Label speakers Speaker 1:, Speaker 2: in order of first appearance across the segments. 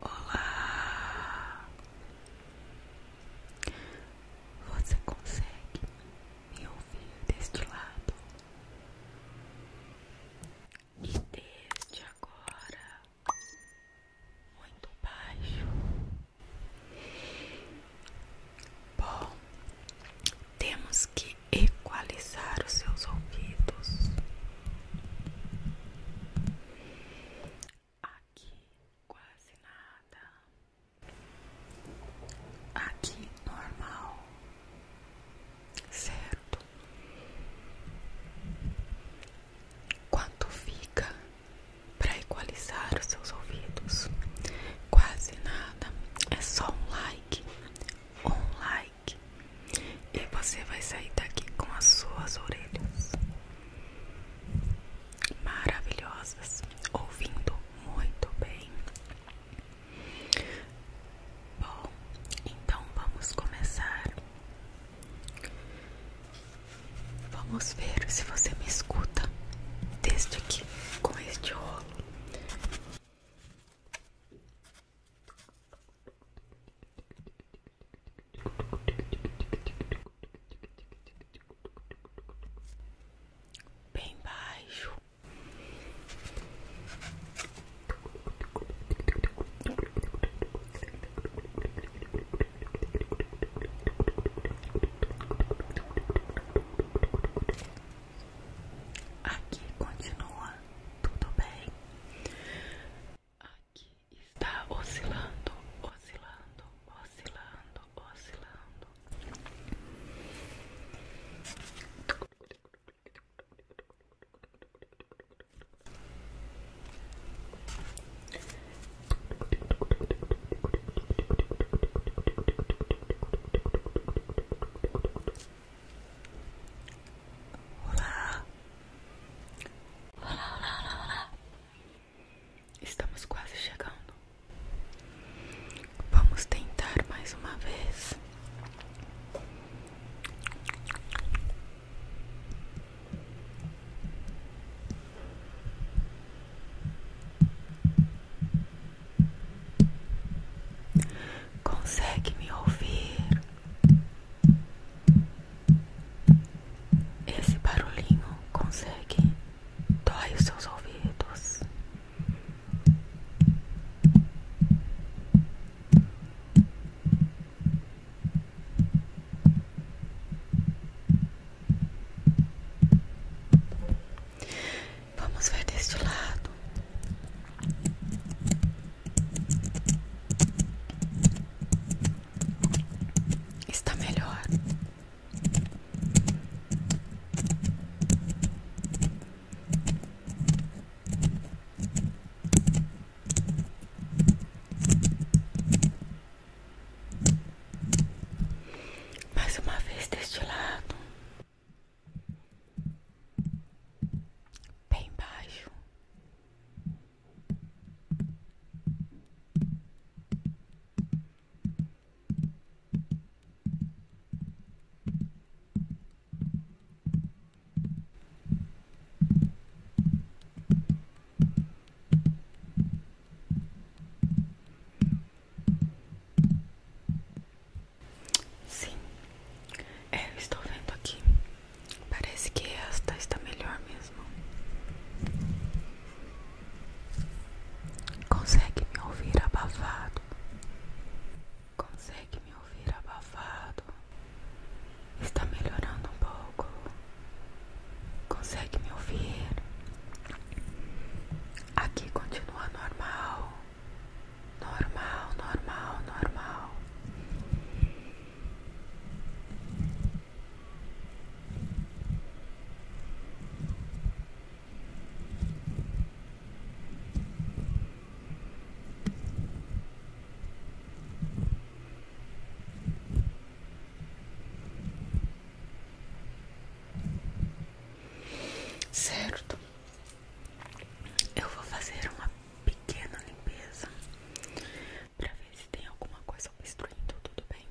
Speaker 1: Olá! Você consegue me ouvir deste lado? E deste agora, muito baixo. Bom, temos que equalizar os seus ouvidos. Aqui quase nada. Aqui normal. Certo. Quanto fica para equalizar os seus ouvidos? Quase nada. É só um like. Um like e você vai sair daqui com as suas orelhas maravilhosas, ouvindo muito bem. Bom, então vamos começar. Vamos ver se você me escuta desde aqui com este rolo bem baixo. Aqui continua tudo bem. Aqui está oscilando, oscilando, oscilando, oscilando. Olá. Olá, olá, olá, olá. Estamos quase chegando. Vamos tentar mais uma vez consegue me ouvir? Esse barulhinho consegue dói os seus ouvidos. Vamos ver deste lado. Está melhor. Mais uma vez deste lado bem baixo. Sim, é, eu estou vendo aqui. Parece que esta está melhor mesmo. Consegue me ouvir abafado? Consegue me ouvir abafado? Está melhorando um pouco. Consegue me ouvir? Aqui continua normal normal, normal, normal. Certo, eu vou fazer uma pequena limpeza pra ver se tem alguma coisa obstruindo, tudo bem?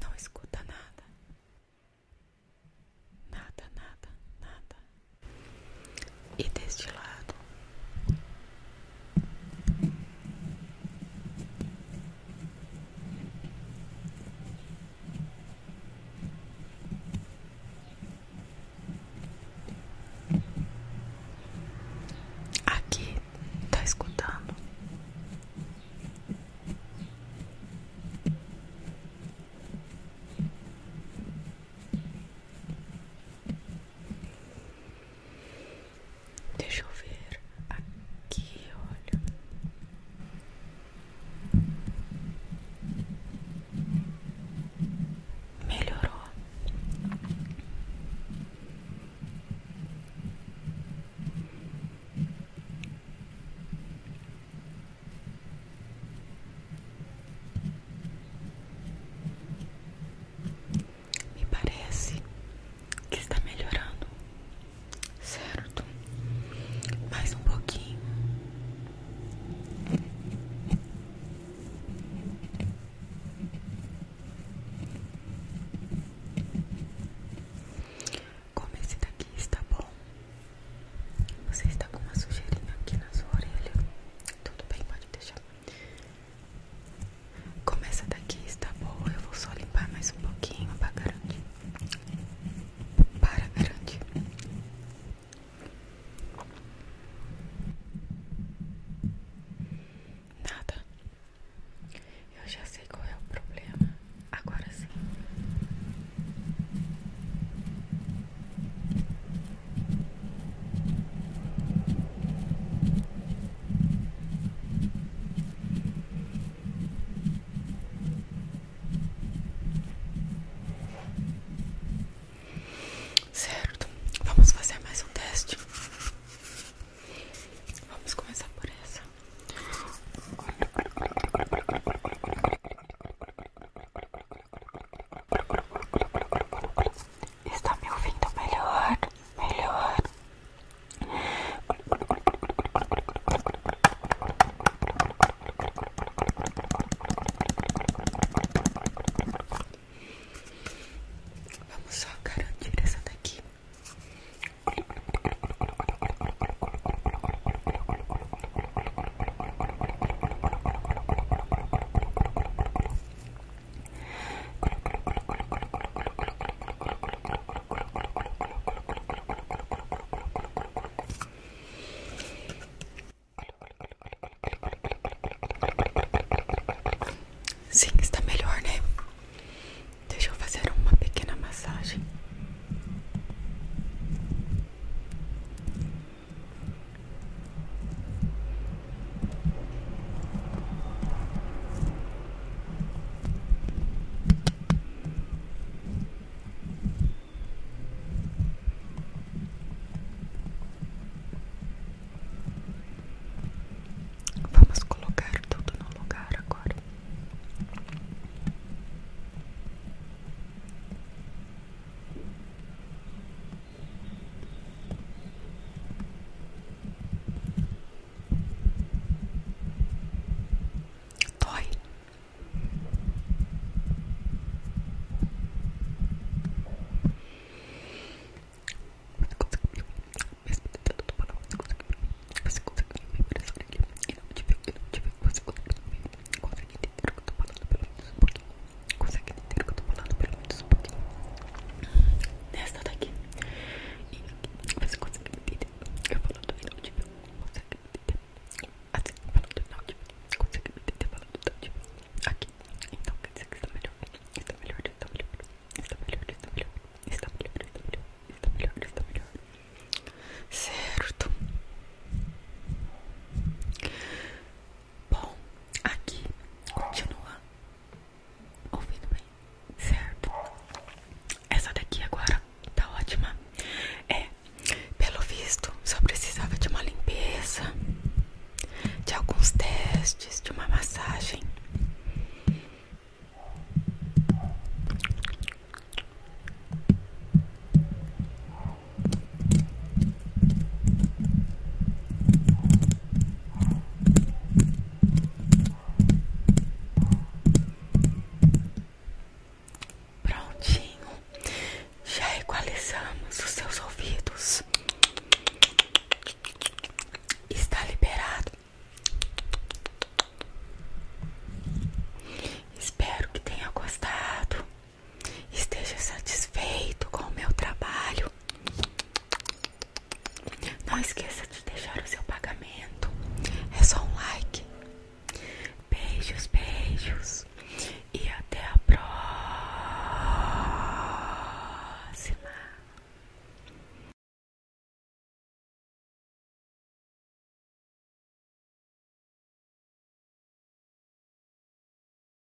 Speaker 1: Não escuta nada. Nada, nada, nada. E deste lado. Aqui tá escutando. Deixa eu ver aqui, olha. Melhorou. Me parece que está melhorando, certo? Mais um pouquinho. Como esse daqui está bom, você está com uma sujeirinha aqui na sua orelha. Tudo bem, pode deixar. Começa daqui, está boa. Eu vou só limpar mais um pouquinho para garantir. Para garantir. Nada. Eu já sei qual é o problema. Agora sim. Certo, vamos fazer mais um teste. Vamos começar por essa. Está me ouvindo melhor? Melhor? Vamos só garantir essa daqui. Sim, está melhor, né? Deixa eu fazer uma pequena massagem. Vamos colocar tudo no lugar agora. Dói. Você conseguiu, mesmo tentando você conseguiu. me impressionar aqui. E Você conseguiu me Consegue entender que eu pelo menos um pouquinho consegue entender o que eu tô falando, pelo menos um pouquinho. Nesta daqui. E você consegue entender. Eu falando inaudível, consegue entender. Assim, falando inaudível, consegue entender falando inaudível. Aqui. Então quer dizer que está melhor. Está melhor, está melhor. Está melhor, está melhor. melhor, está melhor. Está melhor, melhor. Certo. Bom, aqui continua ouvindo bem, certo? Essa daqui agora tá ótima. É, pelo visto, só precisava de uma limpeza, de alguns testes, de uma massagem. Prontinho, já equalizamos os seus ouvidos. Está liberado. Espero que tenha gostado. Esteja satisfeito com o meu trabalho. Não esqueça de deixar o seu pagamento. É só um like. Beijos, beijos. E até a próxima.